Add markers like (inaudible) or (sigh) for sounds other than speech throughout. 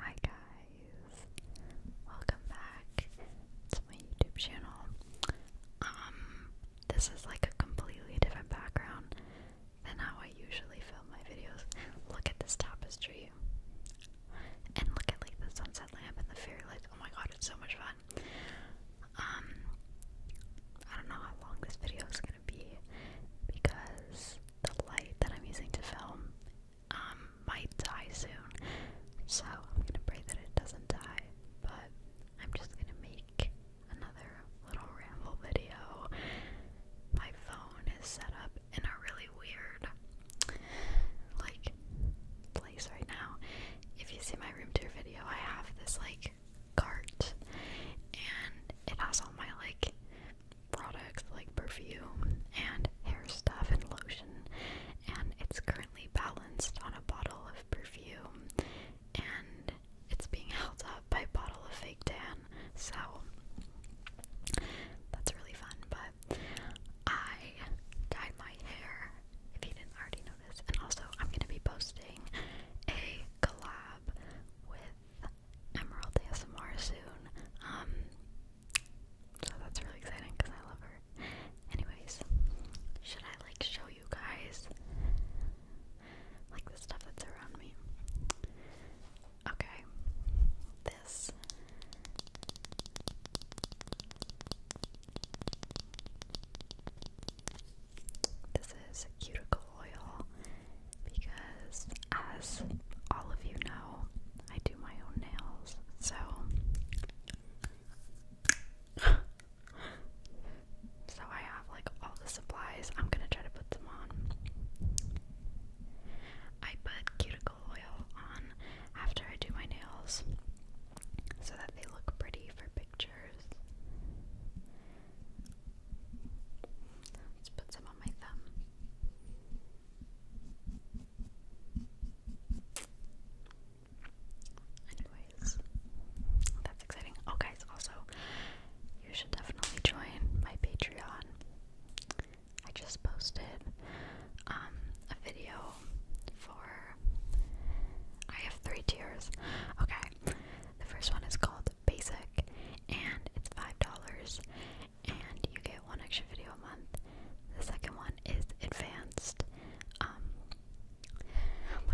Hi guys, welcome back to my YouTube channel. Um, this is like a completely different background than how I usually film my videos. Look at this tapestry, and look at like the sunset lamp and the fairy lights. Oh my god, it's so much fun. Um, I don't know how long this video is be because the light that I'm using to film um, might die soon. So I'm gonna pray that it doesn't die, but I'm just gonna make another little ramble video. My phone is set up in a really weird like place right now. If you see my room tour video, I have this like cart and it has all my like products like perfume and hair stuff and lotion, and it's currently balanced on a bottle of perfume, and it's being held up by a bottle of fake tan, so that's really fun. But I dyed my hair, if you didn't already notice, and also I'm gonna be posting a collab with Emerald ASMR soon. Um, so that's really exciting because I love her. Anyways, should I like show you guys like the stuff that's around me? Okay, this. This is cuticle oil because, as all of you know, I do my own nails, so. so I have like all the supplies. I'm gonna try to put them on. I put cuticle oil on after I do my nails so that they look pretty for pictures. Let's put some on my thumb. Anyways, that's exciting. Oh, guys, also, you should definitely join my Patreon. I just posted um, a video for. I have three tiers. Okay, the first one is called basic and it's $5 and you get one extra video a month. The second one is advanced. Um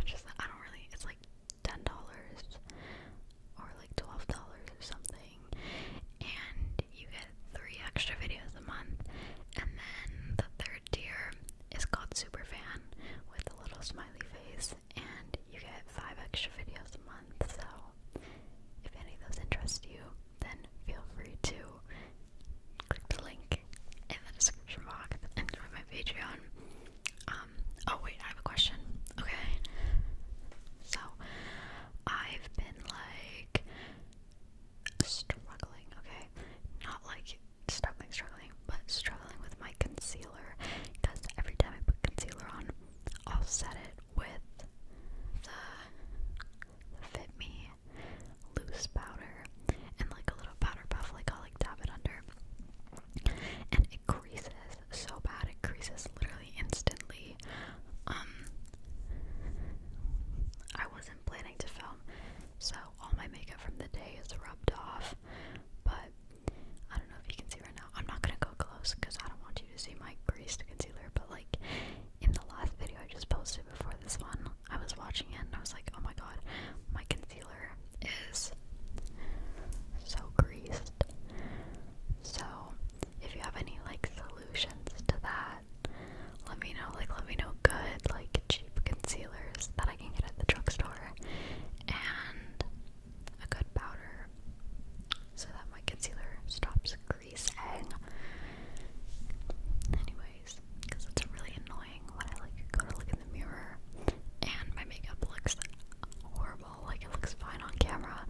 is I don't really it's like ten dollars or like twelve dollars or something and you get three extra videos a month and then the third tier is called Super Fan with a little smiley face and you get five extra videos a month. So, if any of those interest you, then feel free to click the link in the description box and join my Patreon. Um, oh, wait, I have a question. Okay. So, I've been like struggling, okay? Not like struggling, struggling, but struggling with my concealer because every time I put concealer on, I'll set it with the, Fit Me loose powder and like a little powder puff, like I'll like dab it under, and it creases so bad, it creases literally instantly. Um, I wasn't planning to film, so all my makeup from the day is rubbed off. But I don't know if you can see right now. I'm not gonna go close because I don't want you to see my greased concealer. But like in the last video I just posted before this one, I was watching it and I was like, oh my god, my concealer is so greased. So if you have any like solutions to that, let me know. Like let me know good like cheap concealers that I can get at the drugstore and a good powder so that my concealer stops greasing. Anyways, because it's really annoying when I like go to look in the mirror and my makeup looks horrible. Like it looks fine on camera,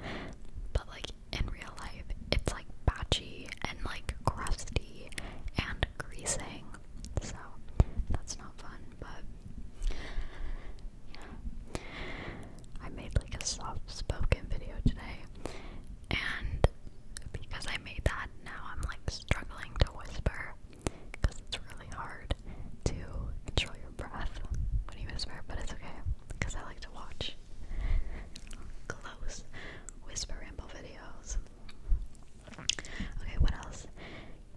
but like in real life, it's like patchy and like crusty and greasing so that's not fun, but I made like a soft spoken video today, and because I made that, now I'm like struggling to whisper because it's really hard to control your breath when you whisper, but it's okay because I like to watch close whisper ramble videos. Okay, what else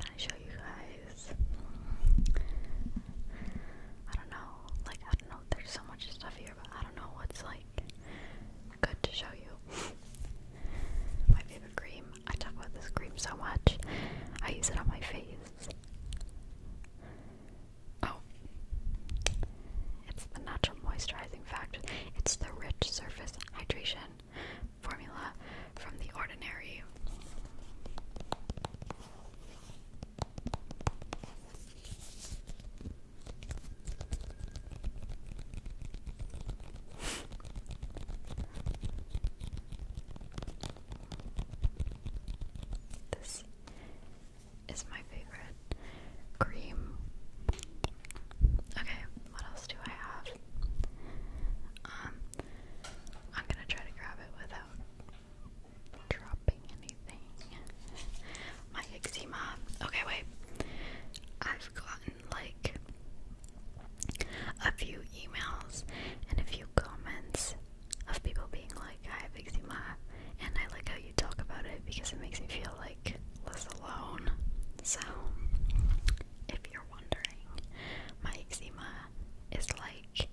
can I show you guys? Hmm. I don't know. Like, I don't know. There's so much stuff here, but I don't know what's like good to show you. my favorite cream. I talk about this cream so much. I use it on my face. Oh. It's the natural moisturizing factor. It's the rich surface hydration formula from The Ordinary. This is my favorite cream. Okay, what else do I have? Um, I'm gonna try to grab it without dropping anything. (laughs) My eczema. Okay, wait. I've gotten like a few emails and a few comments of people being like, I have eczema, and I like how you talk about it because it makes me feel like like alone. So, if you're wondering, my eczema is like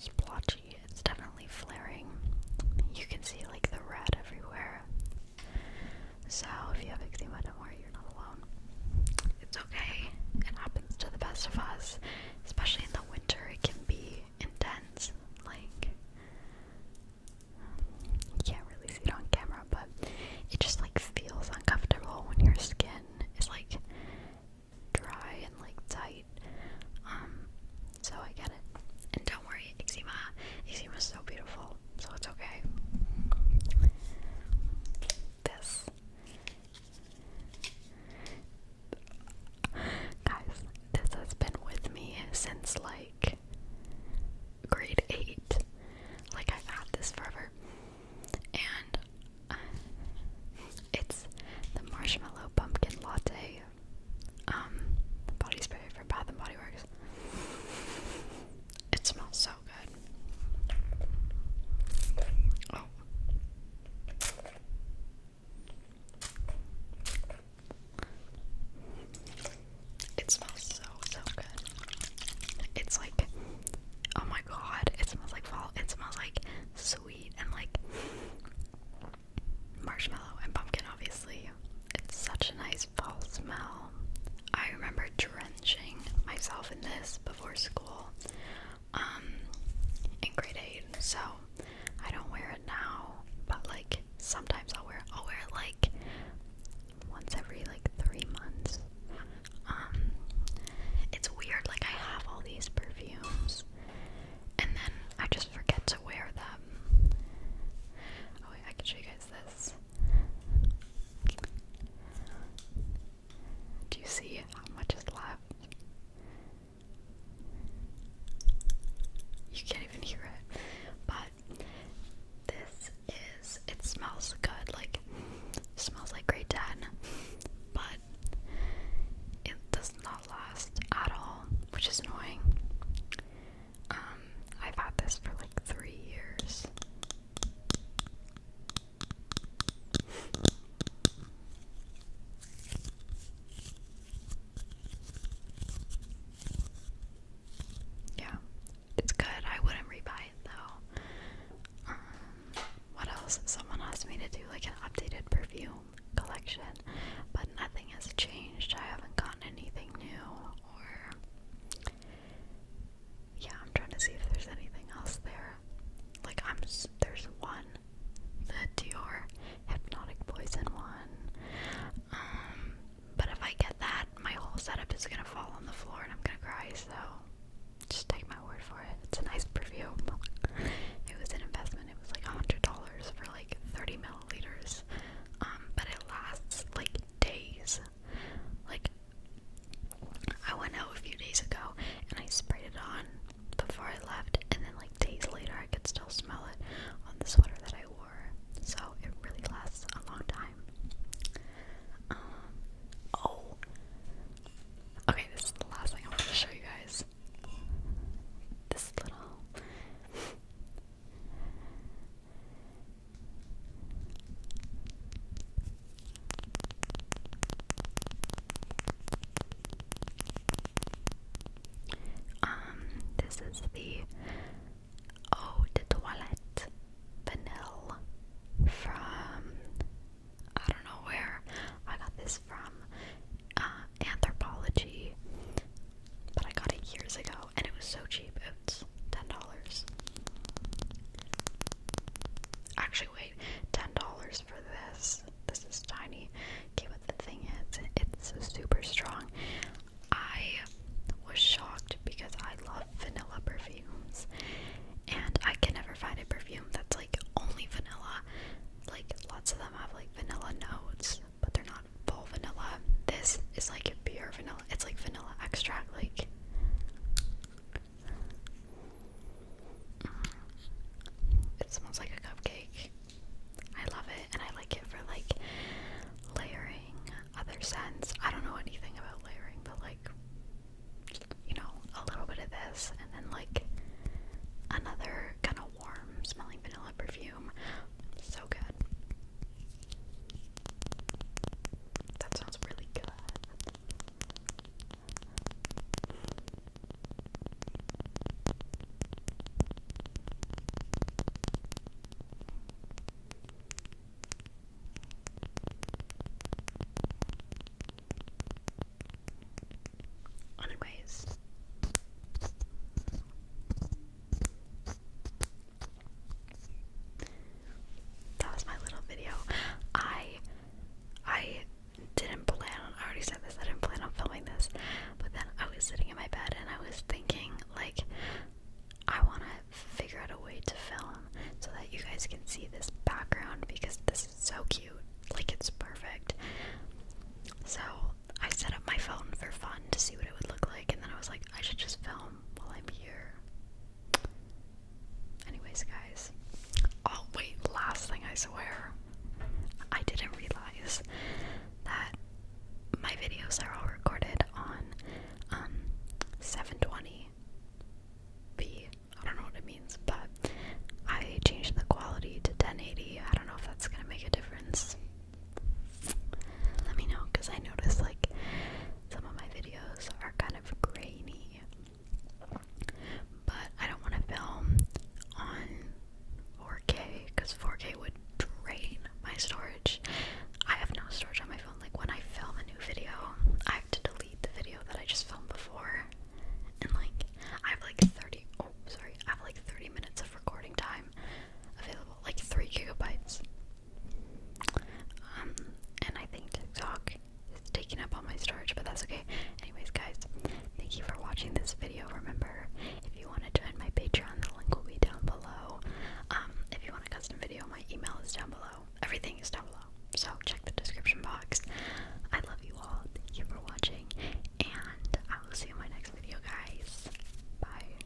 splotchy. It's definitely flaring. You can see like the red everywhere. So, if you have eczema, don't worry, you're not alone. It's okay. It happens to the best of us, especially in the winter. It can be intense. Like, you can't really see it on camera, but it just like feels uncomfortable when your skin is like dry and like tight. Um, so I get it. And don't worry, eczema. Eczema is so beautiful, so it's okay. This Guys, this has been with me since like grade 8. Like, I've this forever. And uh, it's the Marshmallow Pumpkin Latte um, body spray from Bath and Body Works. It smells so good. Oh. It smells so so good. It's like oh my god, it smells like fall. It smells like sweet and like marshmallow and pumpkin obviously. It's such a nice fall smell. I remember drenching myself in this before school um in grade 8. So I don't wear it now, but like sometimes I'll wear it. I'll wear it like once every like three months. Um, it's weird. Like I have all these perfumes, and then I just forget to wear them. Oh wait, I can show you guys this. Do you see how much is left? You can't even hear it. But this is it smells good, like smells like great dad, but it does not last at all, which is annoying. Um, I've had this for like three years. Yeah, it's good. I wouldn't rebuy it though. Um, what else? Someone asked me to do like an updated perfume collection, but nothing has changed. I haven't gotten anything new, or yeah, I'm trying to see if there's anything else there like I'm there's one, the Dior Hypnotic Poison one. Um, but if I get that, my whole setup is gonna fall on the floor and I'm gonna cry. So just take my word for it. It's a nice perfume. it was an investment. It was like a hundred dollars for like 30 milliliters. Um, but it lasts like days. Like I went out a few days ago and I sprayed it on before I left, and then like days later, I could still smell it on the sweater that I wore. So it really lasts a long time. Um, oh, okay, this is the last thing I want to show you guys. This little. Um, this is the Eau de Toilette Vanille from I don't know where I got this from uh, Anthropology, but I got it years ago and it was so cheap. It's ten dollars. Actually, wait, ten dollars for this. This is tiny. Okay, but the thing is, it's super strong. I was shocked because I love vanilla perfumes, and I can never find a perfume that's like only vanilla. Like lots of them have like vanilla notes, but they're not full vanilla. This is like pure vanilla. It's like vanilla extract, like. Mm. It smells like a cupcake. I love it, and I like it for like layering other scents. I don't know anything about layering, but like, you know, a little bit of this, and then like another kind of warm smelling vanilla perfume. So good. That sounds really good. Anyways, that was my little video. I I didn't plan on I already said this, I didn't plan on filming this, but then I was sitting in my bed and I was thinking like I wanna figure out a way to film so that you guys can see this background because this is so cute. Like it's perfect. So I set up my phone for fun to see what it would look like and then I was like I should just film while I'm here. Anyways, guys. Oh, wait, last thing I swear. I didn't realize that my videos are all recorded on 720p. Um, I don't know what it means, but I changed the quality to 1080. I don't know if that's gonna make a difference. Let me know because I noticed like some of my videos are kind of grainy. But I don't want to film on 4K because 4K would drain my storage. I have no storage on my phone. Like when I film a new video, I have to delete the video that I just filmed before. And like I have like 30 sorry, I have like 30 minutes of recording time available, like three gigabytes. Um, and I think TikTok is taking up all my storage, but that's okay. Anyways, guys, thank you for watching this video. Remember, if you want to join my Patreon, the link will be down below. Um, if you want a custom video, my email is down below. Everything is down below. So check the description box. I love you all. Thank you for watching, and I will see you in my next video, guys. Bye.